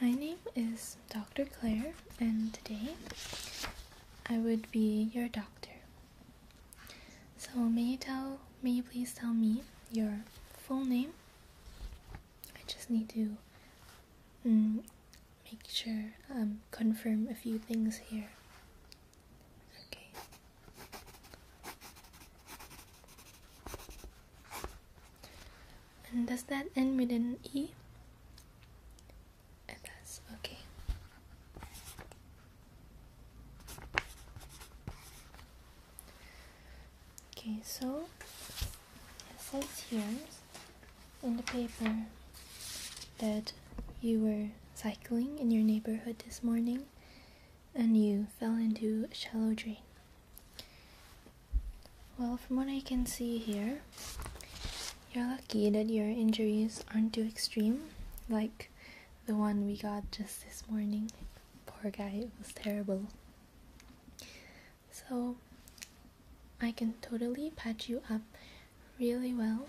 My name is Dr. Claire, and today I would be your doctor. So may you tell may you please tell me your full name? I just need to um, make sure um confirm a few things here. Okay. And does that end with an E? okay. Okay, so it says here in the paper that you were cycling in your neighborhood this morning and you fell into a shallow drain. Well, from what I can see here, you're lucky that your injuries aren't too extreme, like the one we got just this morning. Poor guy, it was terrible. So, I can totally patch you up really well.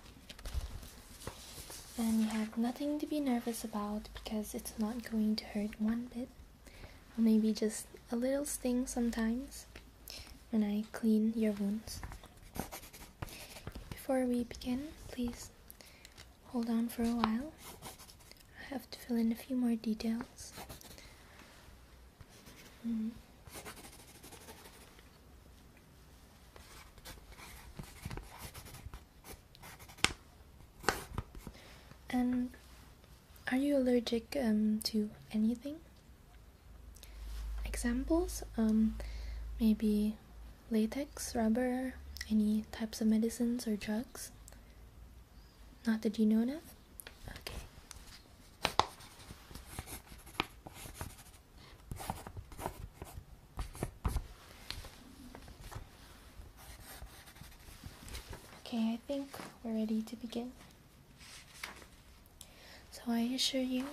And you have nothing to be nervous about because it's not going to hurt one bit. Maybe just a little sting sometimes, when I clean your wounds. Before we begin, please hold on for a while. I have to fill in a few more details. Mm-hmm. And are you allergic um, to anything? examples um, maybe latex, rubber, any types of medicines or drugs. Not that you know of? Okay. Okay, I think we're ready to begin. So I assure you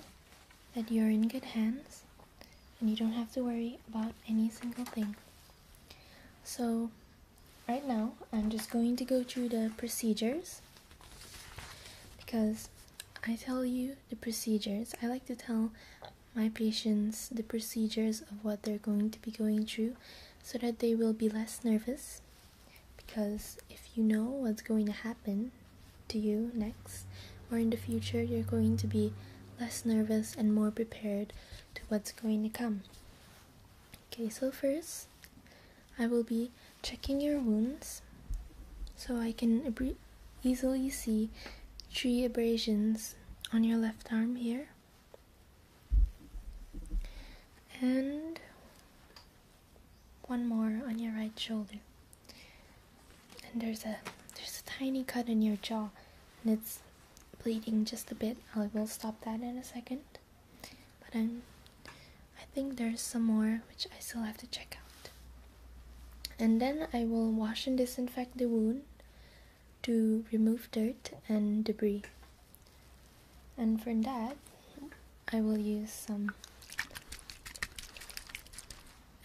that you're in good hands and you don't have to worry about any single thing. So right now I'm just going to go through the procedures because I tell you the procedures. I like to tell my patients the procedures of what they're going to be going through so that they will be less nervous because if you know what's going to happen to you next or in the future, you're going to be less nervous and more prepared to what's going to come. Okay, so first, I will be checking your wounds so I can easily see three abrasions on your left arm here. And one more on your right shoulder. And there's a there's a tiny cut in your jaw and it's bleeding just a bit. I will stop that in a second. But I'm I think there's some more which I still have to check out. And then I will wash and disinfect the wound to remove dirt and debris. And for that, I will use some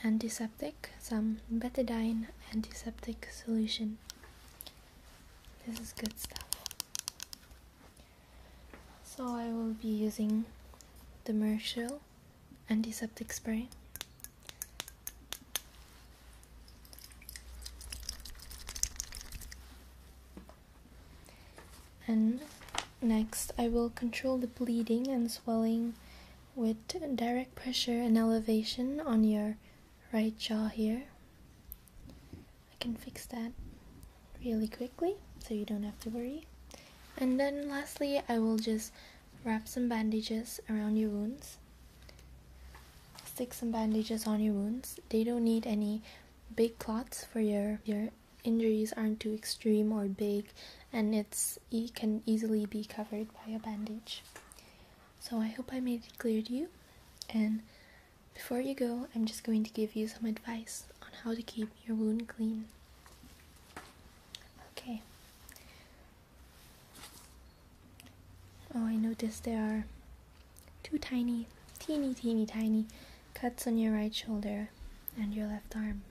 antiseptic, some betadine antiseptic solution. This is good stuff. So I will be using the Mershil antiseptic spray. And next, I will control the bleeding and swelling with direct pressure and elevation on your right jaw here. I can fix that really quickly so you don't have to worry. And then lastly, I will just wrap some bandages around your wounds. Stick some bandages on your wounds. They don't need any big clots for your your injuries aren't too extreme or big and it's it can easily be covered by a bandage. So I hope I made it clear to you and before you go, I'm just going to give you some advice on how to keep your wound clean. Okay. Oh, I noticed there are two tiny, teeny, teeny, tiny cuts on your right shoulder and your left arm.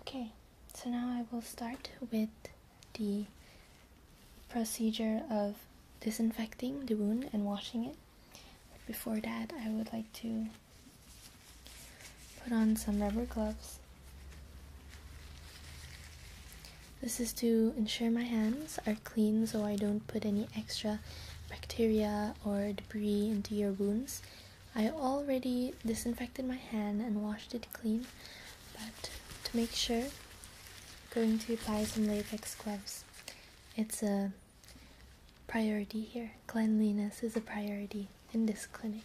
Okay, so now I will start with the procedure of disinfecting the wound and washing it. before that, I would like to put on some rubber gloves. This is to ensure my hands are clean so I don't put any extra bacteria or debris into your wounds. I already disinfected my hand and washed it clean, but to make sure, I'm going to apply some latex gloves. It's a priority here. Cleanliness is a priority in this clinic.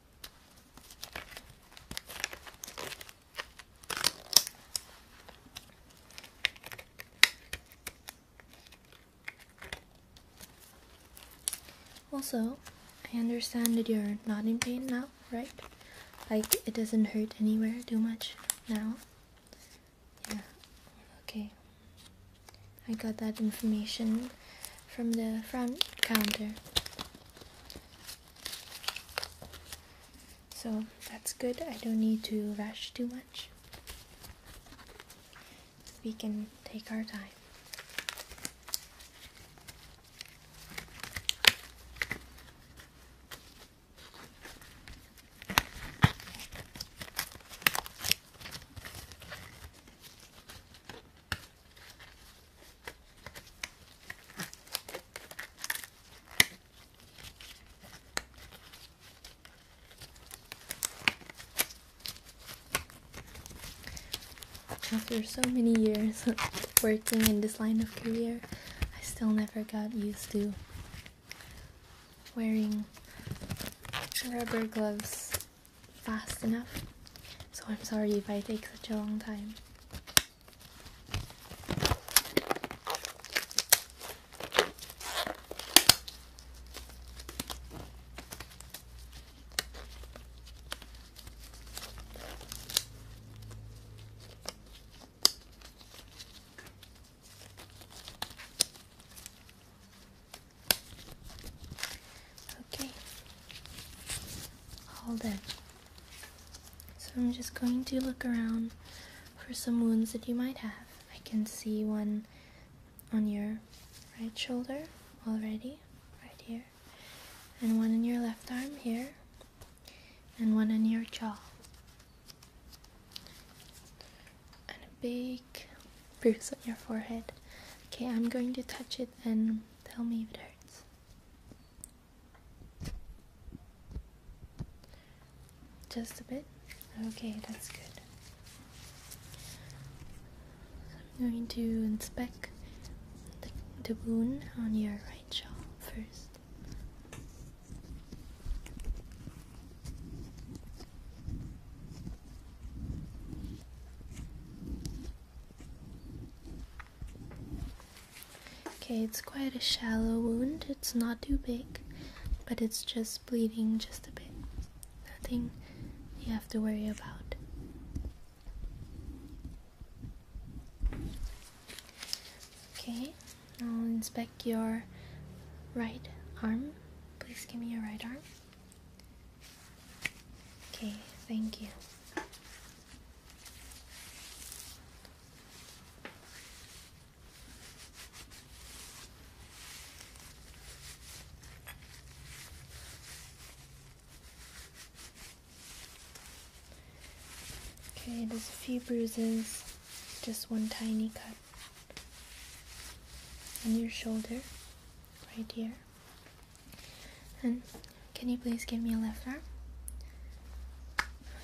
Also, I understand that you're not in pain now, right? Like, it doesn't hurt anywhere too much now? Yeah, okay. I got that information from the front counter. So that's good. I don't need to rush too much. We can take our time. After so many years working in this line of career, I still never got used to wearing rubber gloves fast enough. So I'm sorry if I take such a long time. Okay, all dead. So I'm just going to look around for some wounds that you might have. I can see one on your right shoulder already, right here, and one in your left arm here, and one on your jaw, and a big bruise on your forehead. Okay, I'm going to touch it and Tell me if it hurts. Just a bit? Okay, that's good. I'm going to inspect the, the wound on your right jaw first. Okay, it's quite a shallow wound. It's not too big, but it's just bleeding just a bit. Nothing you have to worry about. Okay, I'll inspect your right arm. Please give me your right arm. Okay, thank you. Okay, there's a few bruises, just one tiny cut on your shoulder, right here. And can you please give me your left arm?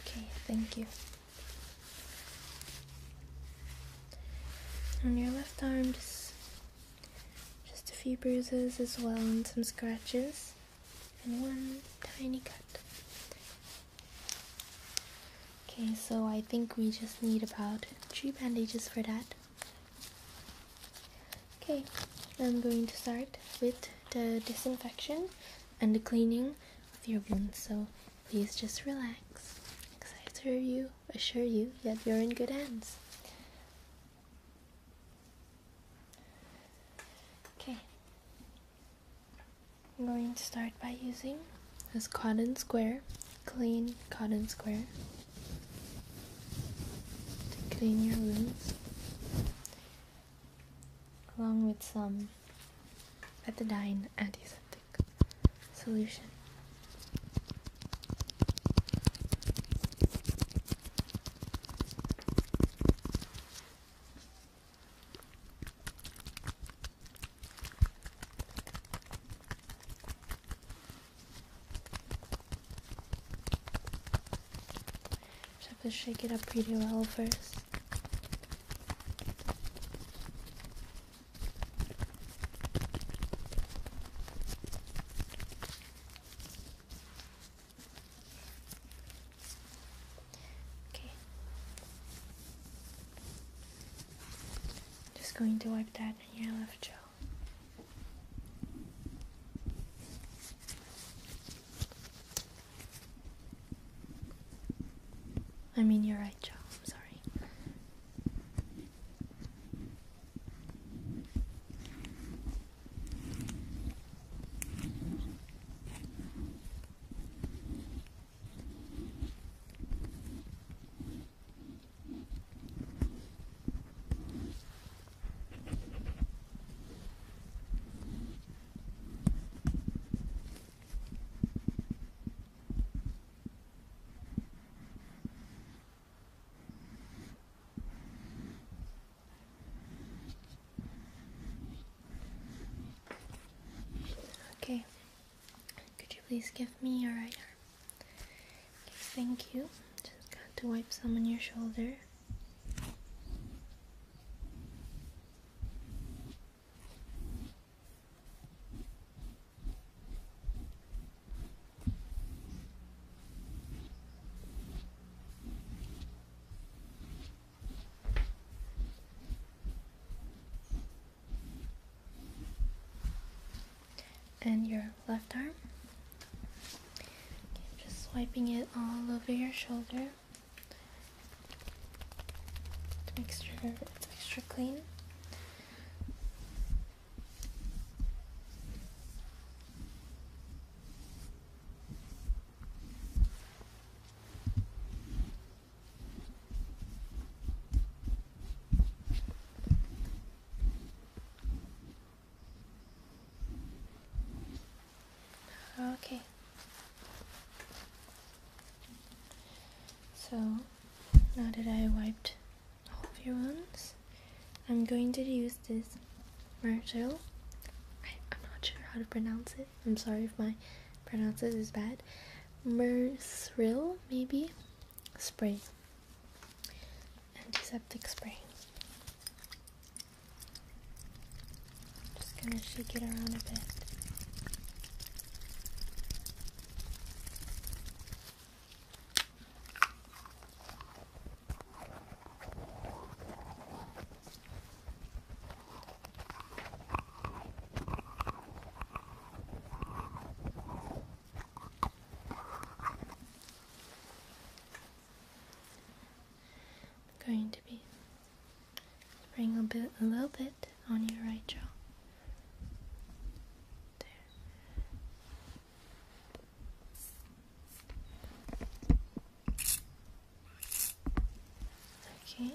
Okay, thank you. On your left arm, just, just a few bruises as well, and some scratches, and one tiny cut. Okay, so I think we just need about three bandages for that. Okay, I'm going to start with the disinfection and the cleaning of your wounds, so please just relax. I to you, assure you that you're in good hands. Okay, I'm going to start by using this cotton square, clean cotton square to clean your wounds along with some betadine antiseptic solution. Just have to shake it up pretty well first. Okay. Just going to wipe that on your left jaw. I mean, you're right, Joe. I'm sorry. Okay, could you please give me your right arm? thank you. Just got to wipe some on your shoulder and your left arm. just swiping it all over your shoulder to make sure it's extra clean. Okay. So, now that I wiped all the ones, I'm going to use this Myrtle. I, am not sure how to pronounce it. I'm sorry if my pronunciation is bad. Mercil, maybe? Spray antiseptic spray. Just gonna shake it around a bit. I'm going to be spraying a bit, a little bit on your right jaw. There. Okay,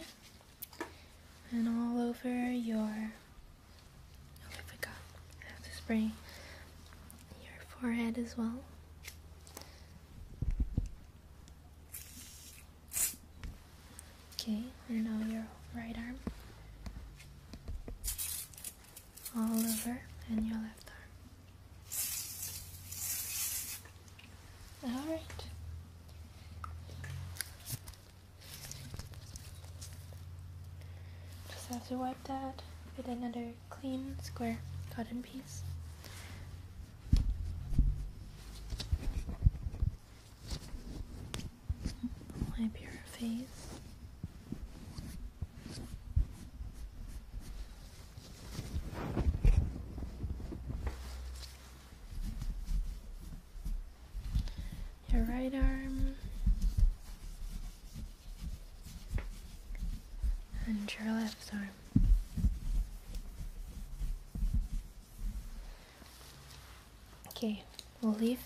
and all over your. Oh, I forgot. I have to spray your forehead as well. Okay, and now your right arm, all over, and your left arm. All right. Just have to wipe that with another clean square cotton piece. Wipe your face. Your right arm, and your left arm. Okay, we'll leave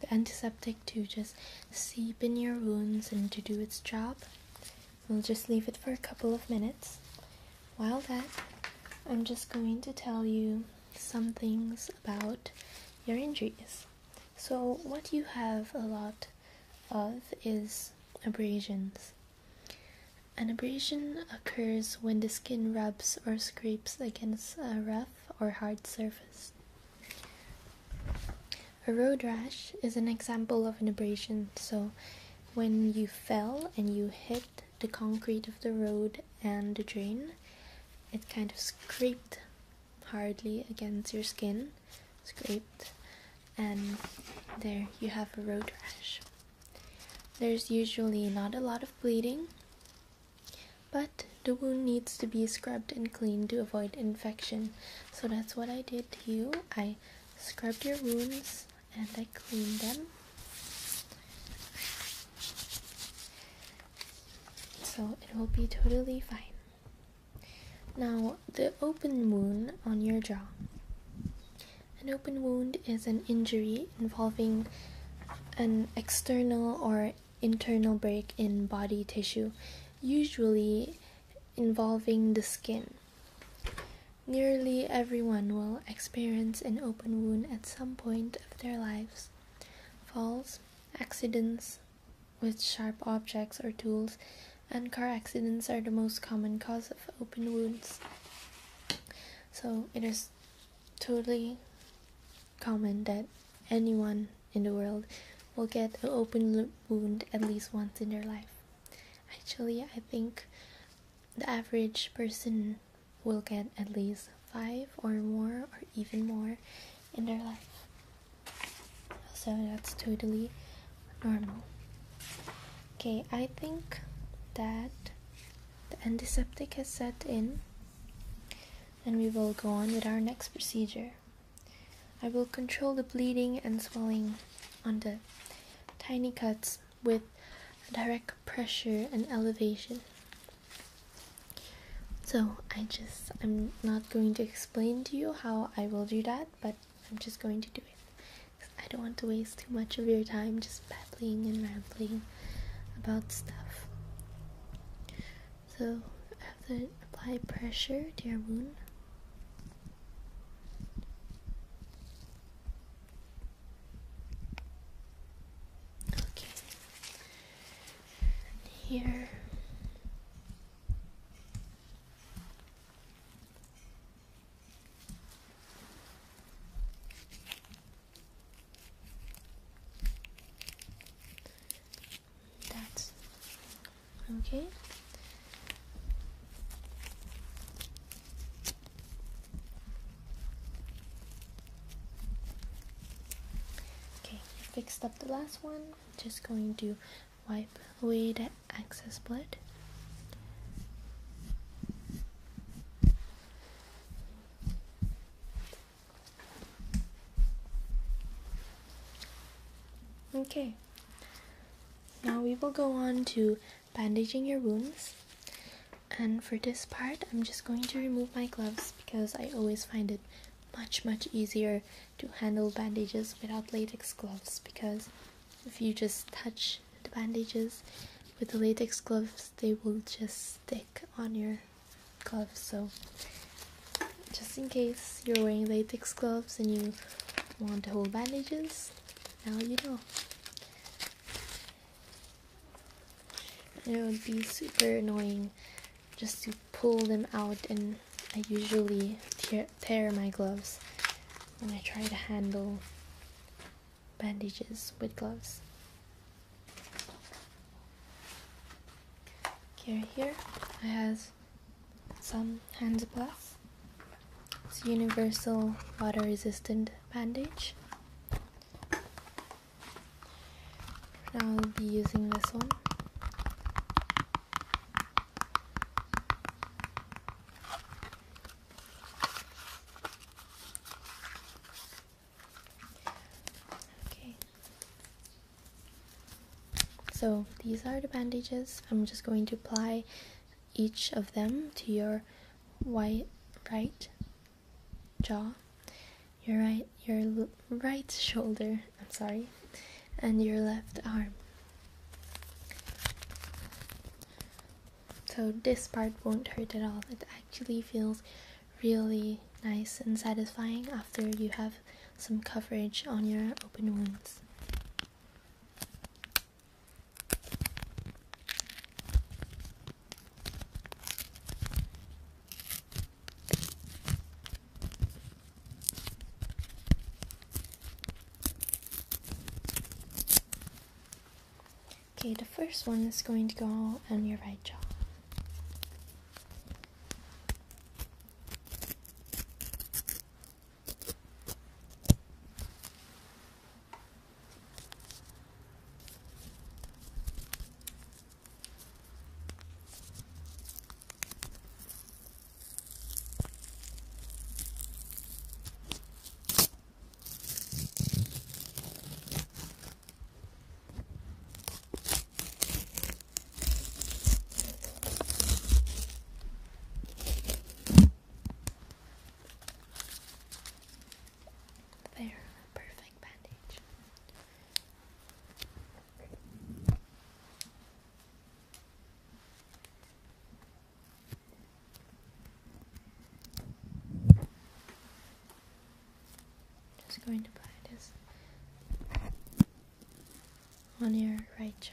the antiseptic to just seep in your wounds and to do its job. We'll just leave it for a couple of minutes. While that, I'm just going to tell you some things about your injuries. So, what you have a lot of is Abrasions. An abrasion occurs when the skin rubs or scrapes against a rough or hard surface. A road rash is an example of an abrasion, so when you fell and you hit the concrete of the road and the drain, it kind of scraped hardly against your skin scraped, and there you have a road rash. There's usually not a lot of bleeding, but the wound needs to be scrubbed and cleaned to avoid infection. So that's what I did to you. I scrubbed your wounds and I cleaned them. So it will be totally fine. Now, the open wound on your jaw. An open wound is an injury involving an external or internal break in body tissue, usually involving the skin. Nearly everyone will experience an open wound at some point of their lives. Falls, accidents with sharp objects or tools, and car accidents are the most common cause of open wounds. So it is totally common that anyone in the world will get an open wound at least once in their life. Actually, I think the average person will get at least five or more or even more in their life. So that's totally normal. Okay, I think that the antiseptic has set in and we will go on with our next procedure. I will control the bleeding and swelling on the tiny cuts with direct pressure and elevation. So I just, I'm not going to explain to you how I will do that, but I'm just going to do it. I don't want to waste too much of your time just babbling and rambling about stuff. So, after apply pressure to your wound, okay, and here. That's okay. Okay, fixed up the last one. I'm just going to wipe away the excess blood. Okay, now we will go on to bandaging your wounds. And for this part, I'm just going to remove my gloves because I always find it much, much easier to handle bandages without latex gloves because if you just touch the bandages with the latex gloves they will just stick on your gloves so just in case you're wearing latex gloves and you want to hold bandages now you know it would be super annoying just to pull them out and I usually tear tear my gloves when I try to handle bandages with gloves. Okay, here I have some hands plus. It's a universal water resistant bandage. now I'll be using this one. Okay. So these are the bandages. I'm just going to apply each of them to your right jaw, your right your right shoulder. I'm sorry, and your left arm. So this part won't hurt at all. It actually feels really nice and satisfying after you have some coverage on your open wounds. Okay, the first one is going to go on your right jaw. There, perfect bandage. Just going to buy this on your right jaw.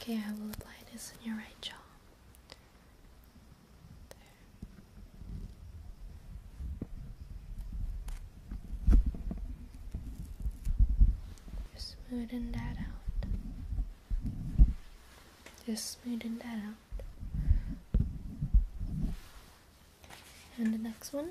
Okay, I will apply this on your right jaw. Just smoothing that out. Just smoothing that out. And the next one.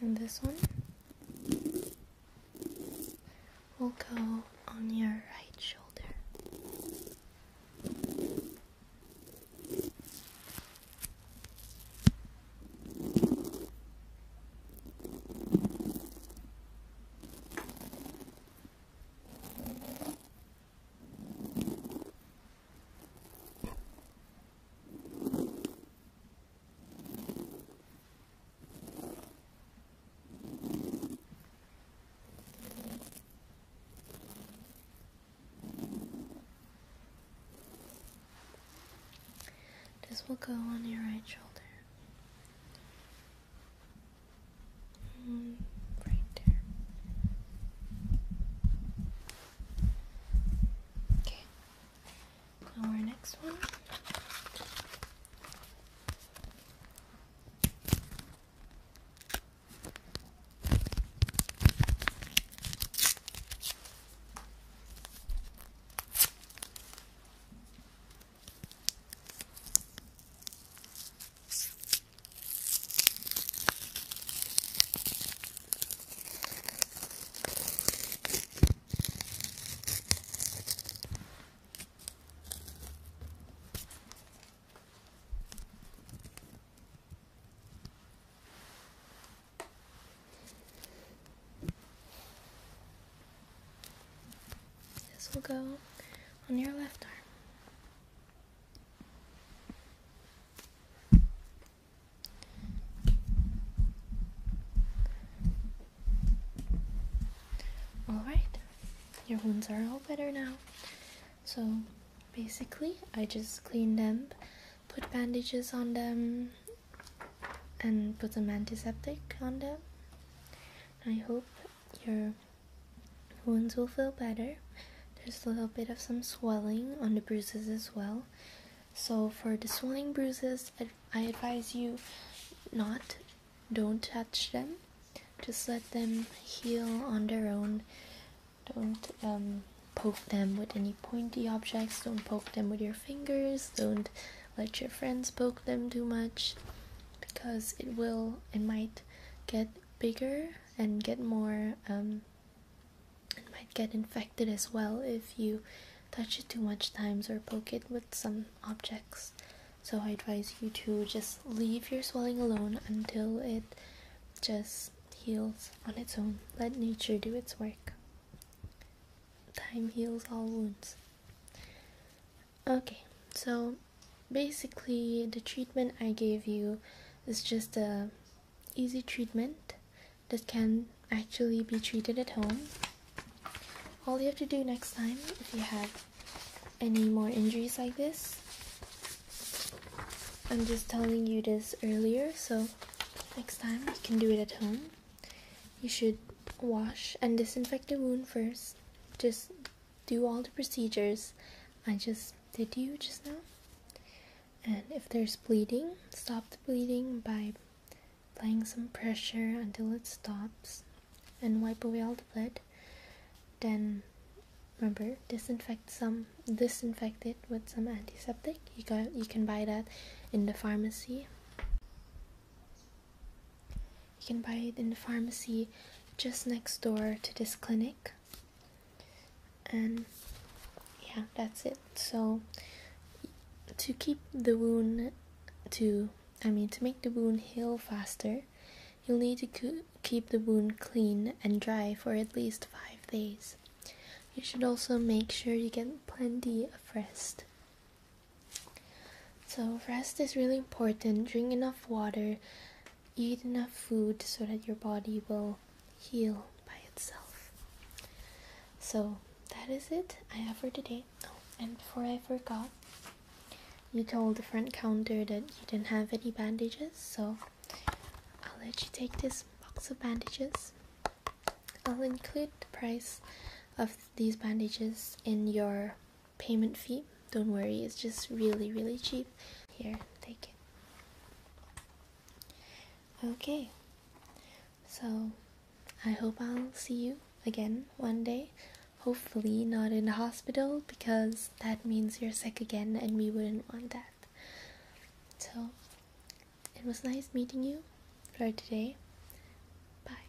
And this one will go on your right shoulder. This will go on your right shoulder. Mm, right there. Okay. Our next one. This will go on your left arm. Alright, your wounds are all better now. So basically, I just cleaned them, put bandages on them, and put some antiseptic on them. I hope your wounds will feel better. There's a little bit of some swelling on the bruises as well, so for the swelling bruises, I advise you not don't touch them. Just let them heal on their own. Don't um, poke them with any pointy objects. Don't poke them with your fingers. Don't let your friends poke them too much because it will, it might get bigger and get more um, it might get infected as well if you touch it too much times or poke it with some objects. So I advise you to just leave your swelling alone until it just heals on its own. Let nature do its work. Time heals all wounds. Okay, so basically the treatment I gave you is just a easy treatment this can actually be treated at home. All you have to do next time if you have any more injuries like this, I'm just telling you this earlier, so next time you can do it at home. You should wash and disinfect the wound first. Just do all the procedures I just did you just now. And if there's bleeding, stop the bleeding by applying some pressure until it stops and wipe away all the blood then remember disinfect some disinfect it with some antiseptic you got you can buy that in the pharmacy you can buy it in the pharmacy just next door to this clinic and yeah that's it so to keep the wound to I mean to make the wound heal faster, you'll need to keep the wound clean and dry for at least 5 days. You should also make sure you get plenty of rest. So rest is really important. Drink enough water, eat enough food so that your body will heal by itself. So that is it I have for today. Oh, and before I forgot, you told the front counter that you didn't have any bandages, so I'll let you take this box of bandages. I'll include the price of these bandages in your payment fee. Don't worry, it's just really, really cheap. Here, take it. Okay, so I hope I'll see you again one day. Hopefully, not in the hospital because that means you're sick again and we wouldn't want that. So, it was nice meeting you for today. Bye.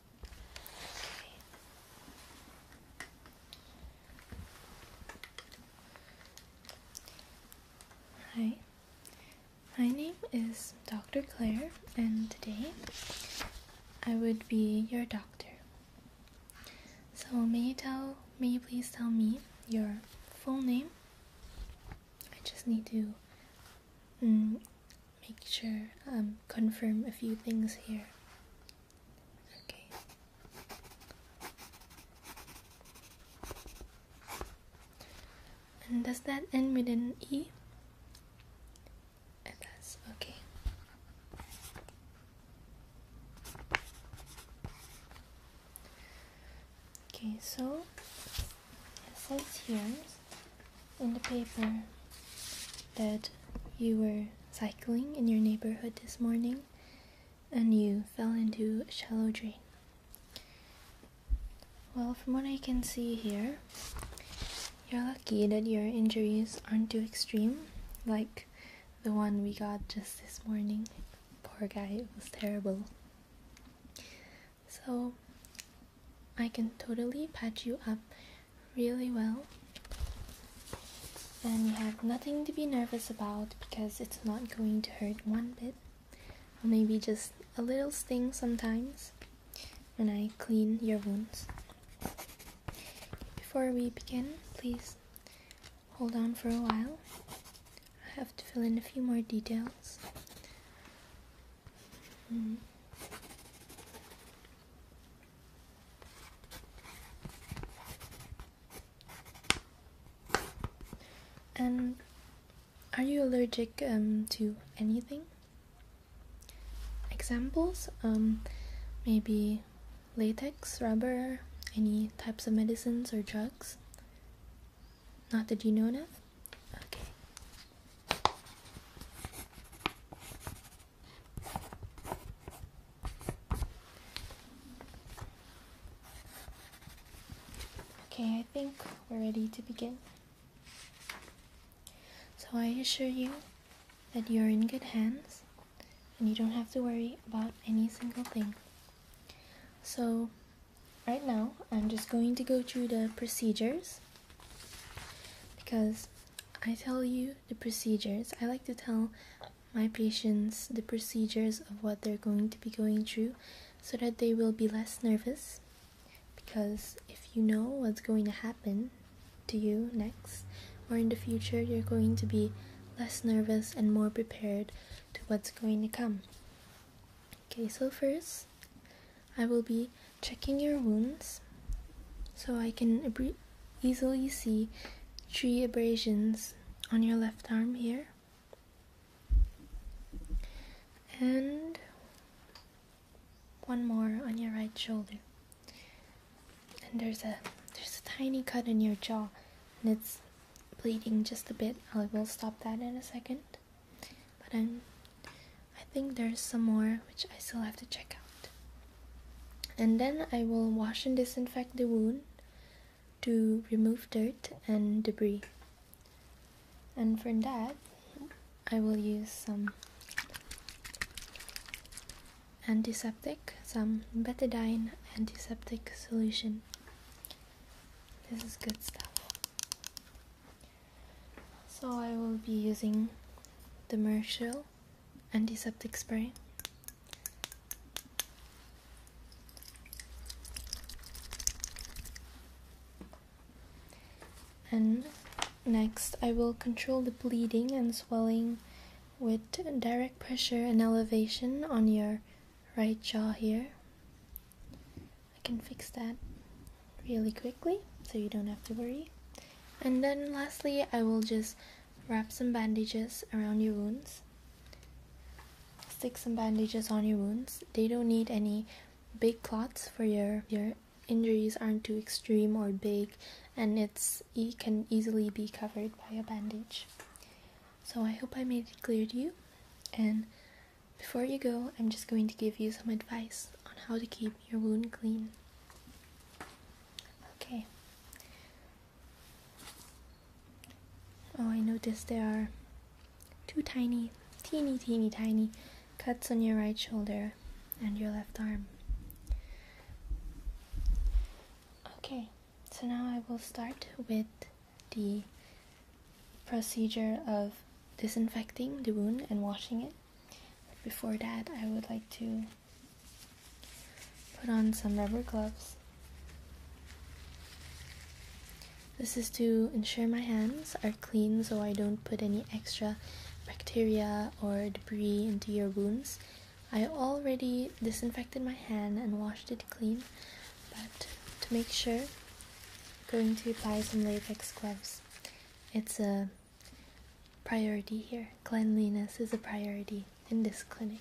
Hi, my name is Dr. Claire, and today I would be your doctor. So may you tell may you please tell me your full name? I just need to mm, make sure, um, confirm a few things here. Okay. And does that end with an E? It does, okay. Okay, so it says here in the paper that you were cycling in your neighborhood this morning and you fell into a shallow drain. Well, from what I can see here, you're lucky that your injuries aren't too extreme, like the one we got just this morning. Poor guy, it was terrible. So, I can totally patch you up really well. And you have nothing to be nervous about because it's not going to hurt one bit. Or maybe just a little sting sometimes when I clean your wounds. Before we begin, please hold on for a while. I have to fill in a few more details. -hmm. And are you allergic um, to anything? Examples? Um, maybe latex, rubber, any types of medicines or drugs? Not that you know of? Okay. Okay, I think we're ready to begin. So I assure you that you're in good hands and you don't have to worry about any single thing. So right now, I'm just going to go through the procedures because I tell you the procedures. I like to tell my patients the procedures of what they're going to be going through so that they will be less nervous. Because if you know what's going to happen to you next or in the future, you're going to be less nervous and more prepared to what's going to come. Okay, so first, I will be checking your wounds so I can easily see three abrasions on your left arm here. And one more on your right shoulder. And there's a there's a tiny cut in your jaw and it's bleeding just a bit. I will stop that in a second. But I'm I think there's some more which I still have to check out. And then I will wash and disinfect the wound to remove dirt and debris. And for that, I will use some antiseptic, some betadine antiseptic solution. This is good stuff. So I will be using the Mershell antiseptic spray. And next I will control the bleeding and swelling with direct pressure and elevation on your right jaw here. I can fix that really quickly so you don't have to worry. And then lastly, I will just wrap some bandages around your wounds. Stick some bandages on your wounds. They don't need any big clots for your your injuries aren't too extreme or big and it's it can easily be covered by a bandage. So I hope I made it clear to you and before you go, I'm just going to give you some advice on how to keep your wound clean. Okay. Oh, I noticed there are two tiny, teeny, teeny, tiny cuts on your right shoulder and your left arm. Okay, so now I will start with the procedure of disinfecting the wound and washing it before that, I would like to put on some rubber gloves. This is to ensure my hands are clean so I don't put any extra bacteria or debris into your wounds. I already disinfected my hand and washed it clean, but to make sure, I'm going to apply some latex gloves. It's a priority here. Cleanliness is a priority in this clinic.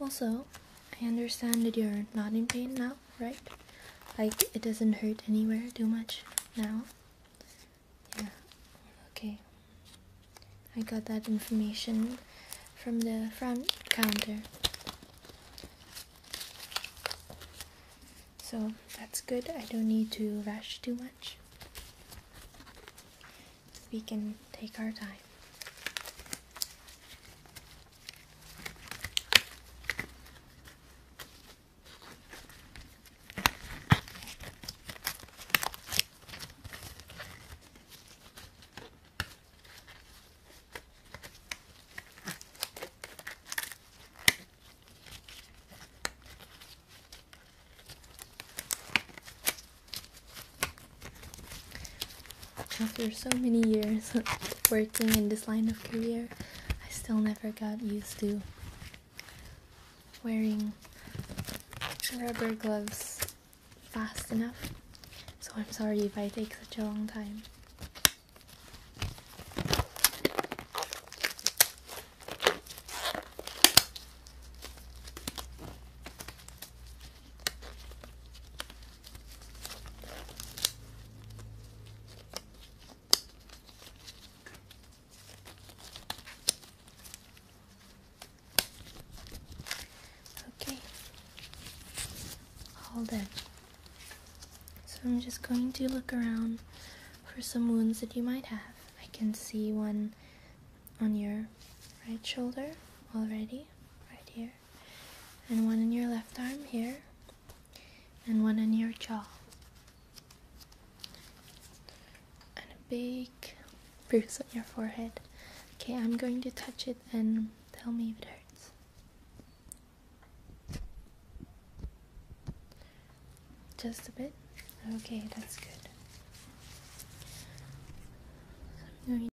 Also, I understand that you're not in pain now, right? Like, it doesn't hurt anywhere too much now? Yeah, okay. I got that information from the front counter. So, that's good. I don't need to rush too much we can take our time. After so many years working in this line of career, I still never got used to wearing rubber gloves fast enough. So I'm sorry if I take such a long time. Okay, Hold it. So I'm just going to look around for some wounds that you might have. I can see one on your right shoulder already, right here and one in your left arm here, and one in your jaw. And a big bruise on your forehead. Okay, I'm going to touch it and tell me if it hurts. Just a bit? Okay, that's good.